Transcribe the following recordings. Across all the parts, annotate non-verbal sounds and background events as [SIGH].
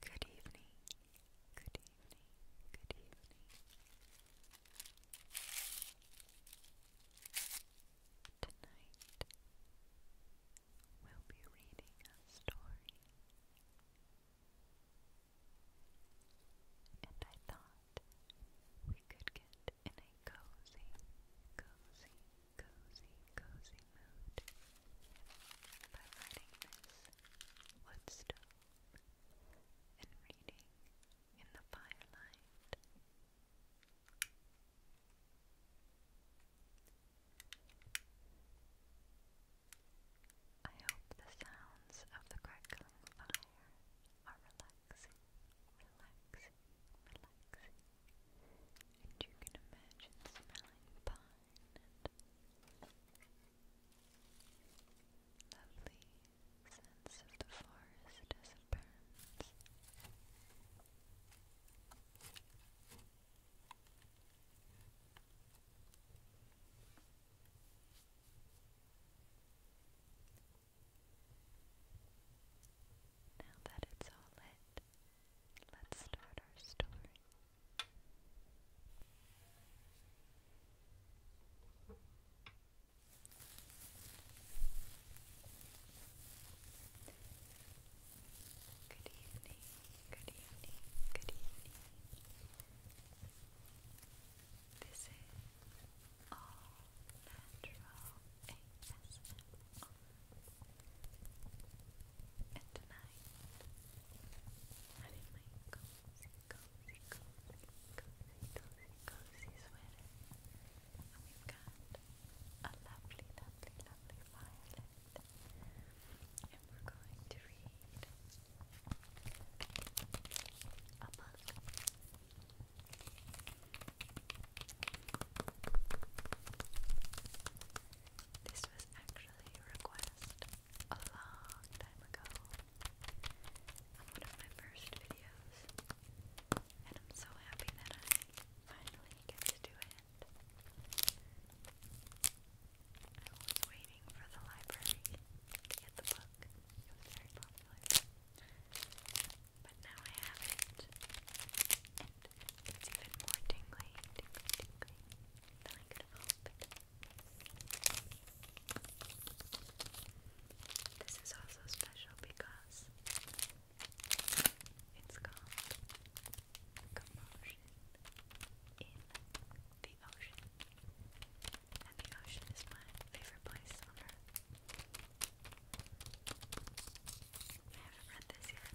Good evening. Good evening. Good evening. Tonight we'll be reading a story. And I thought we could get in a cozy, cozy, cozy, cozy mood by lighting this wood stove and reading in the firelight. I hope the sounds of the crackling fire are relaxing relaxing, relaxing, relaxing. And you can imagine smelling pine and lovely sense of the forest as it burns. Now that it's all lit, let's start our story. Good evening, good evening, good evening. This is all natural ASMR. And tonight, having my cozy, cozy, cozy, cozy, cozy, cozy sweater. we've got a lovely, lovely, lovely violet. And we're going to read a book this was actually a request a long time ago one of my first videos, and I'm so happy that I finally get to do it. I was waiting for the library to get the book. It was very popular. But now I have it. it's even more tingly, than I could have This is also special because it's called Commotion in the Ocean. And the ocean is my favorite place on earth. I haven't read this yet, so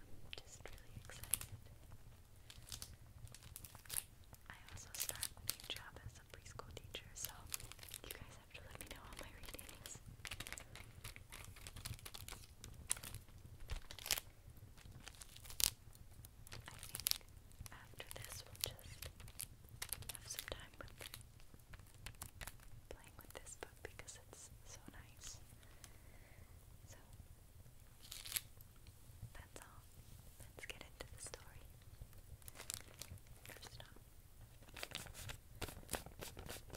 I'm just really excited. I also start a new job as a preschool teacher, so you guys have to let me know how my reading I think after this, we'll just have some time with playing with this book because it's so nice. So, that's all. Let's get into the story. First off, take away my library receipt.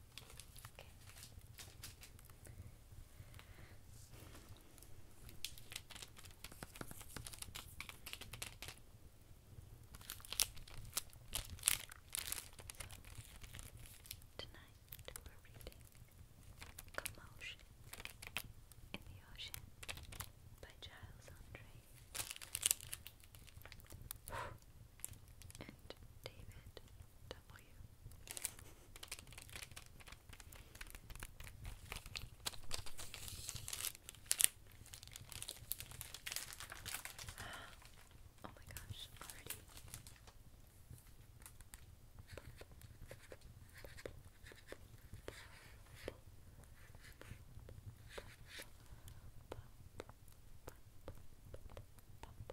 Okay. So, tonight we're reading Commotion in the Ocean by Giles Andre [SIGHS] and David W. [GASPS] Oh my gosh, already.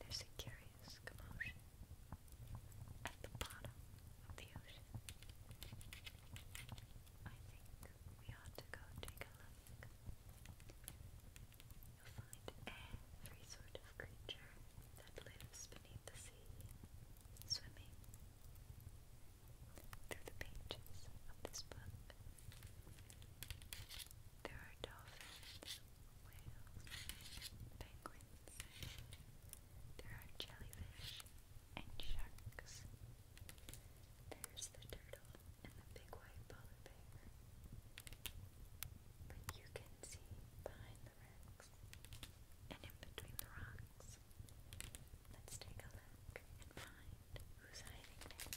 There's a curious commotion at the bottom of the ocean. I think we ought to go take a look. You'll find every sort of creature that lives beneath the sea swimming through the pages of this book. There are dolphins, whales, penguins, there are jellyfish and sharks. There's the turtle and the big white polar bear. But you can see behind the rocks and in between the rocks. Let's take a look and find who's hiding there.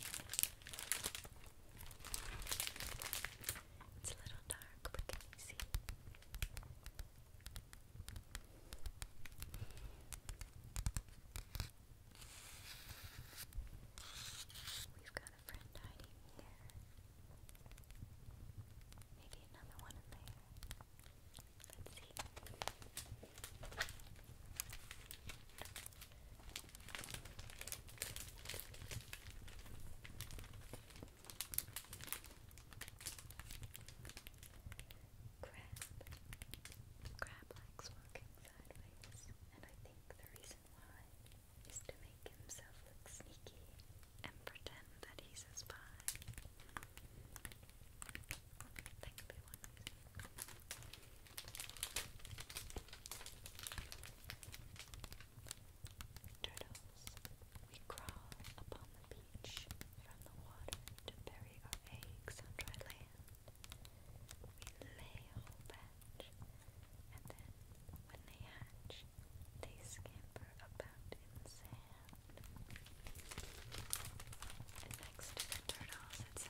It's a little dark, but can you see? We've got a friend hiding here. Maybe another one in there. Let's see. Crab. Crab likes walking sideways, and I think the reason why is to make himself look sneaky and pretend that he's a spy. Turtle. We crawl upon the beach from the water to bury our eggs on dry land. We lay a whole batch, and then when they hatch, they scamper about in sand. next to the turtles, it says,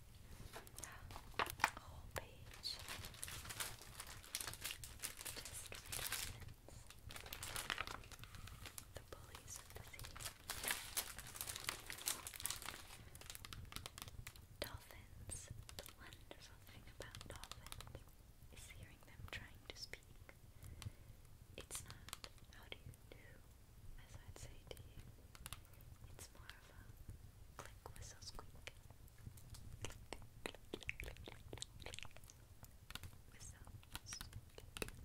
whole page just endorsements. The bullies of the sea. Dolphins. The wonderful thing about dolphins is hearing them trying to speak. It's not how do you do, as I'd say to you. It's more Click, whistle, squeak. Click, click, click, click. Whistle, squeak. Click, click.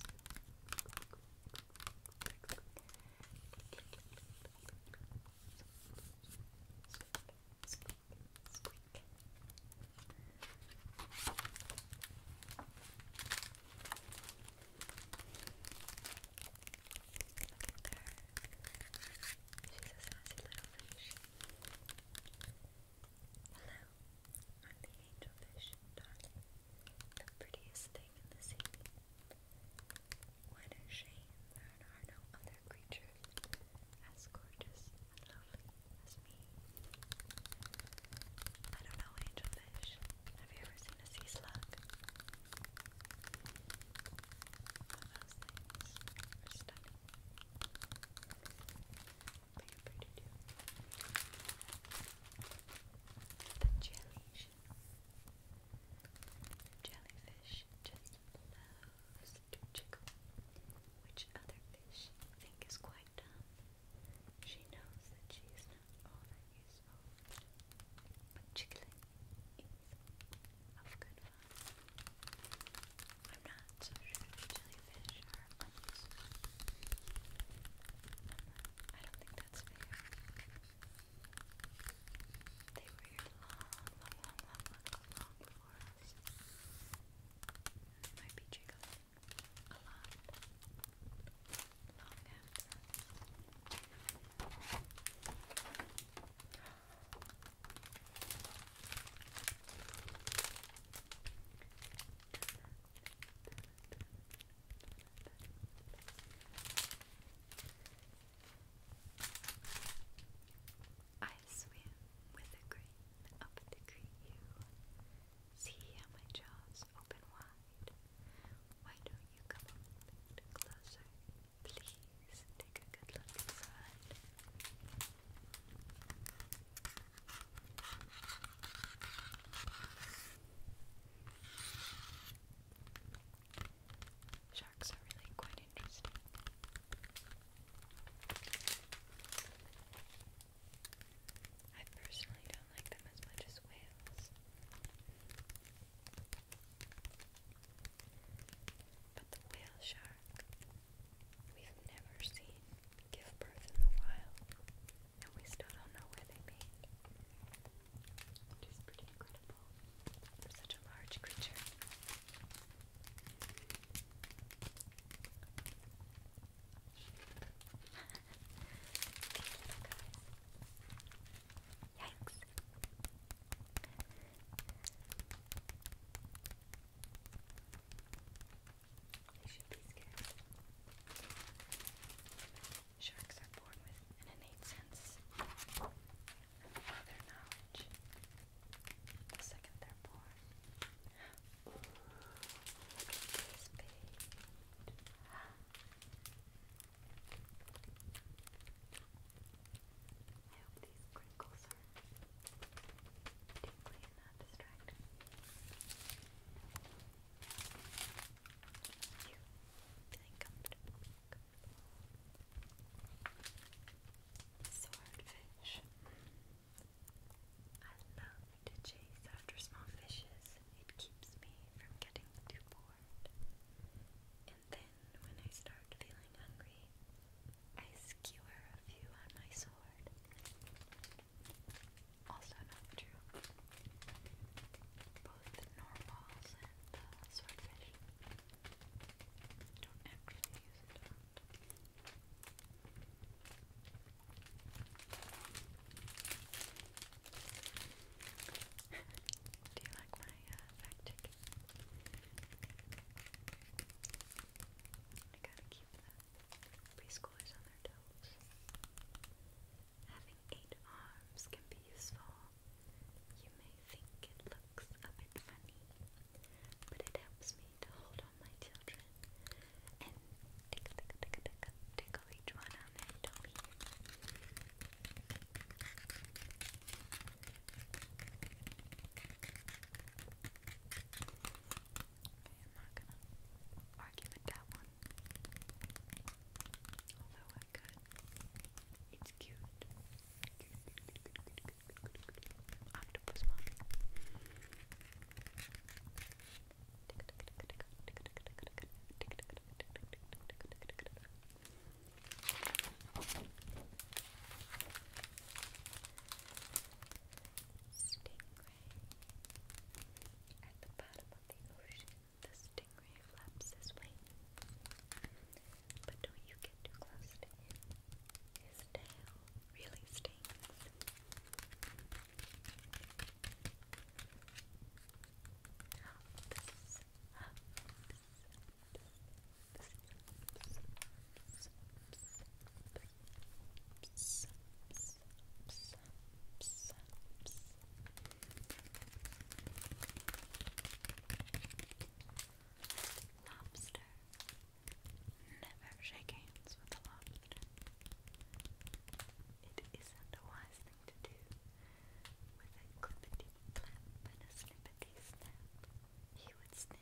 Squeak, squeak, squeak. Look She's a sassy little fish. Hello, I'm the The prettiest thing in the sea. What a shame there are no other creatures as gorgeous lovely as me. I don't know, angelfish. Have you ever seen a sea slug? those things The jellyfish, jellyfish just loves to jiggle, which other fish think is quite dumb. She knows that she is not all that useful, but jiggling is of good I'm not so sure jellyfish are monkeys. I don't think that's fair. They were here long, long, long, long, long, before us. might be jiggling a Long after. I swim with the green up the green you. See how my jaws open wide. Why don't you come closer? Please take a good look inside. Sharks are really quite interesting. I personally don't like them as much as whales. But the whale shark we've never seen give birth in the wild, and we still don't know where they mate. Which is pretty incredible for such a large creature. [LAUGHS] Yikes. They should be scared. Sharks are born with an innate sense of their knowledge. The second they're born. look at this page. I hope these crinkles are deeply and not distracting. You feeling comfortable. Swordfish. I love to chase after small fishes. It keeps me from getting too bored. And then when I start feeling hungry, I skewer a few on my sword. Also not true. Both the normals and the swordfish don't actually use it [LAUGHS] Do you like my uh, I gotta keep the preschoolers on their toes. Having eight arms can be useful. You may think it looks a bit funny, but it helps me to hold on my children and tickle, each one on their tummy not gonna argue with that one. Although I could. It's cute. Octopus mom. Stingray. At the bottom of the ocean, the stingray flaps his wings. But don't oh, you get too close His tail really stings. Oh, Lobster. Never shake hands with a lobster. It isn't a wise thing to do with a clippity clap and a snippity snap. He would snip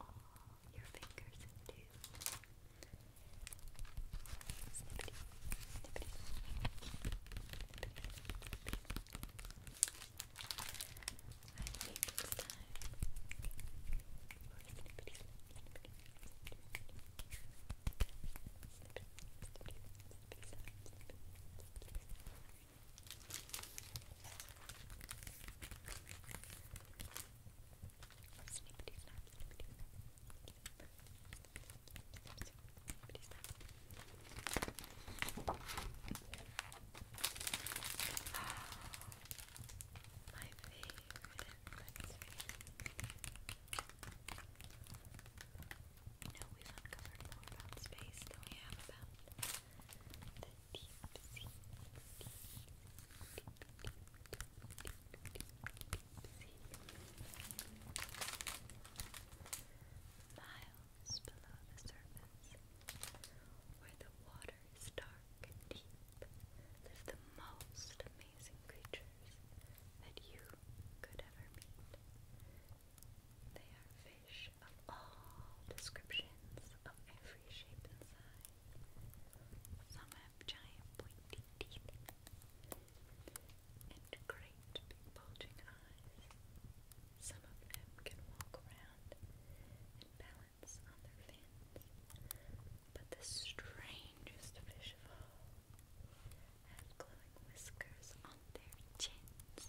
all your fingers into. Snippity, snippity, snippity. I think it's time for snippity, snippity, snippity. Snippity, snippity, snippity, snippity, snippity, snippity. Snippity snap, My favorite, let we've uncovered more about space than we have about Miles below the surface, where the water is dark and deep, live the most amazing creatures that you could ever meet. They are fish, of all descriptions of every shape and size. Some have giant pointy teeth and great bulging eyes. Some of them can walk around and balance on their fins. But the strangest fish of all have glowing whiskers on their chins.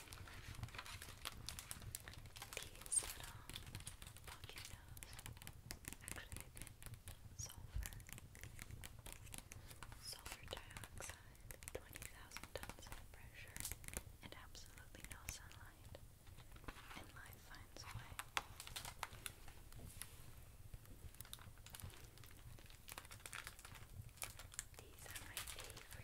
These little pocket actually sulfur. Sulfur dioxide, 20,000 tons of pressure, and absolutely no sunlight. And life finds a way. These are my favorite.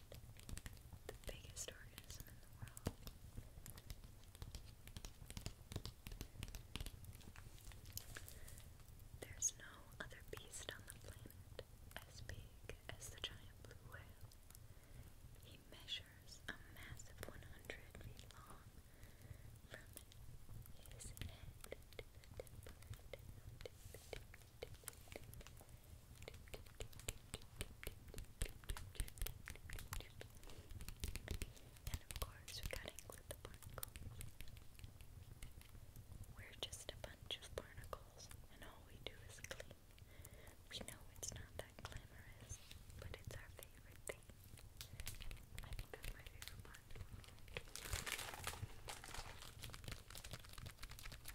the biggest organism in the world. There's no other beast on the planet as big as the giant blue whale. He measures a mass of 100 feet long from his head to the tip, and of course, we gotta include the barnacles. We're just a bunch of barnacles, and all we do is clean. We know it's not that glamorous, but it's our favorite thing. I think that's my favorite part.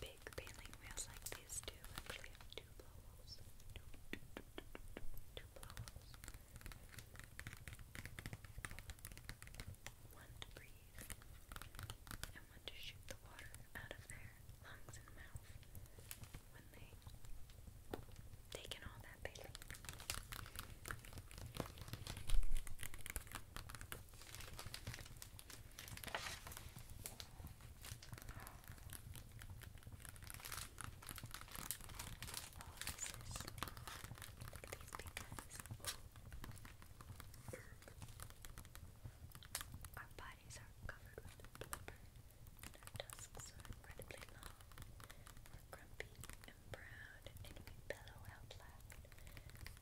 big baling wheels like these do actually have two blowholes. One to breathe and one to shoot the water out of their lungs and mouth when they take in all that baling. Our bodies are covered with blubber, our tusks are incredibly long. We're grumpy and proud, and we bellow out loud.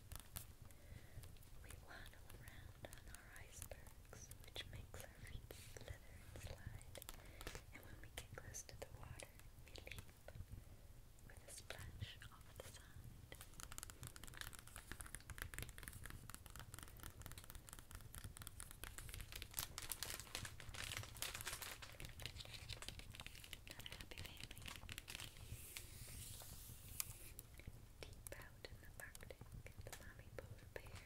We waddle around on our icebergs, which makes our feet slither and slide, and when we get close to the water, we leap with a splash off the side. happy family. Deep out in the Arctic, the mommy polar bear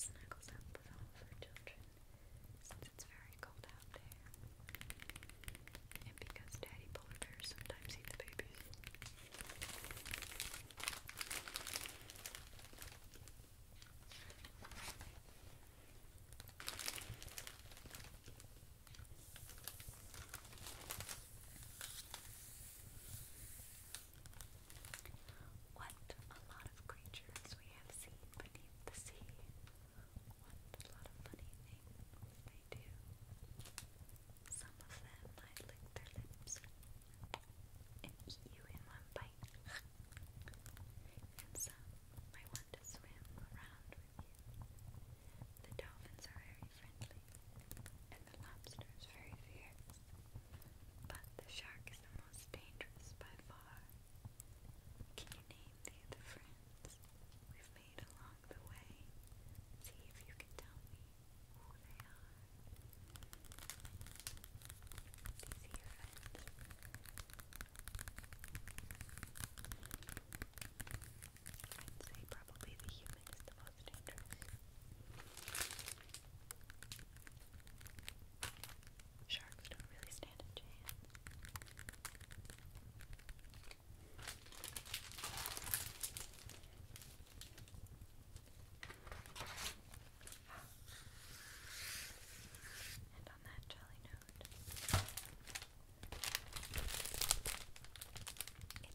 snuggles up with all her children since it's very cold out there. And because daddy polar bears sometimes eat the babies. What a lot of creatures we have seen beneath the sea. What a lot of funny things they do. Some of them might their lips and eat you in one bite. and some might want to swim around with you. The dolphins are very and the lobster is very fierce, but the shark is the most dangerous by far. Can you name the friends we've made along the way? See if you can tell me who they are. These your friends. I'd say probably the human movement is Sharks don't really stand a chance. And on that jolly note,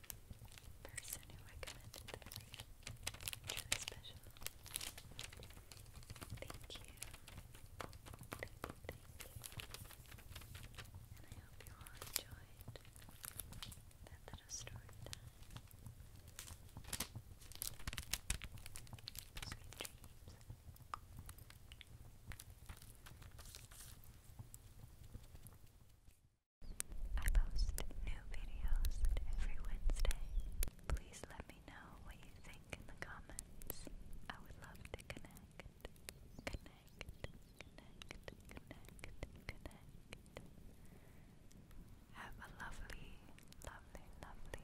person who recommended this. It's really special. Thank you. Thank you, And I hope you all enjoyed that little story Sweet dreams. I post new videos every Wednesday. Please let me know what you think in the comments. I would love to connect. Connect, connect, connect, connect. Have a lovely, lovely, lovely,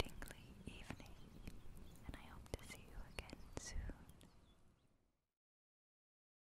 tingly evening, and I hope to see you again soon.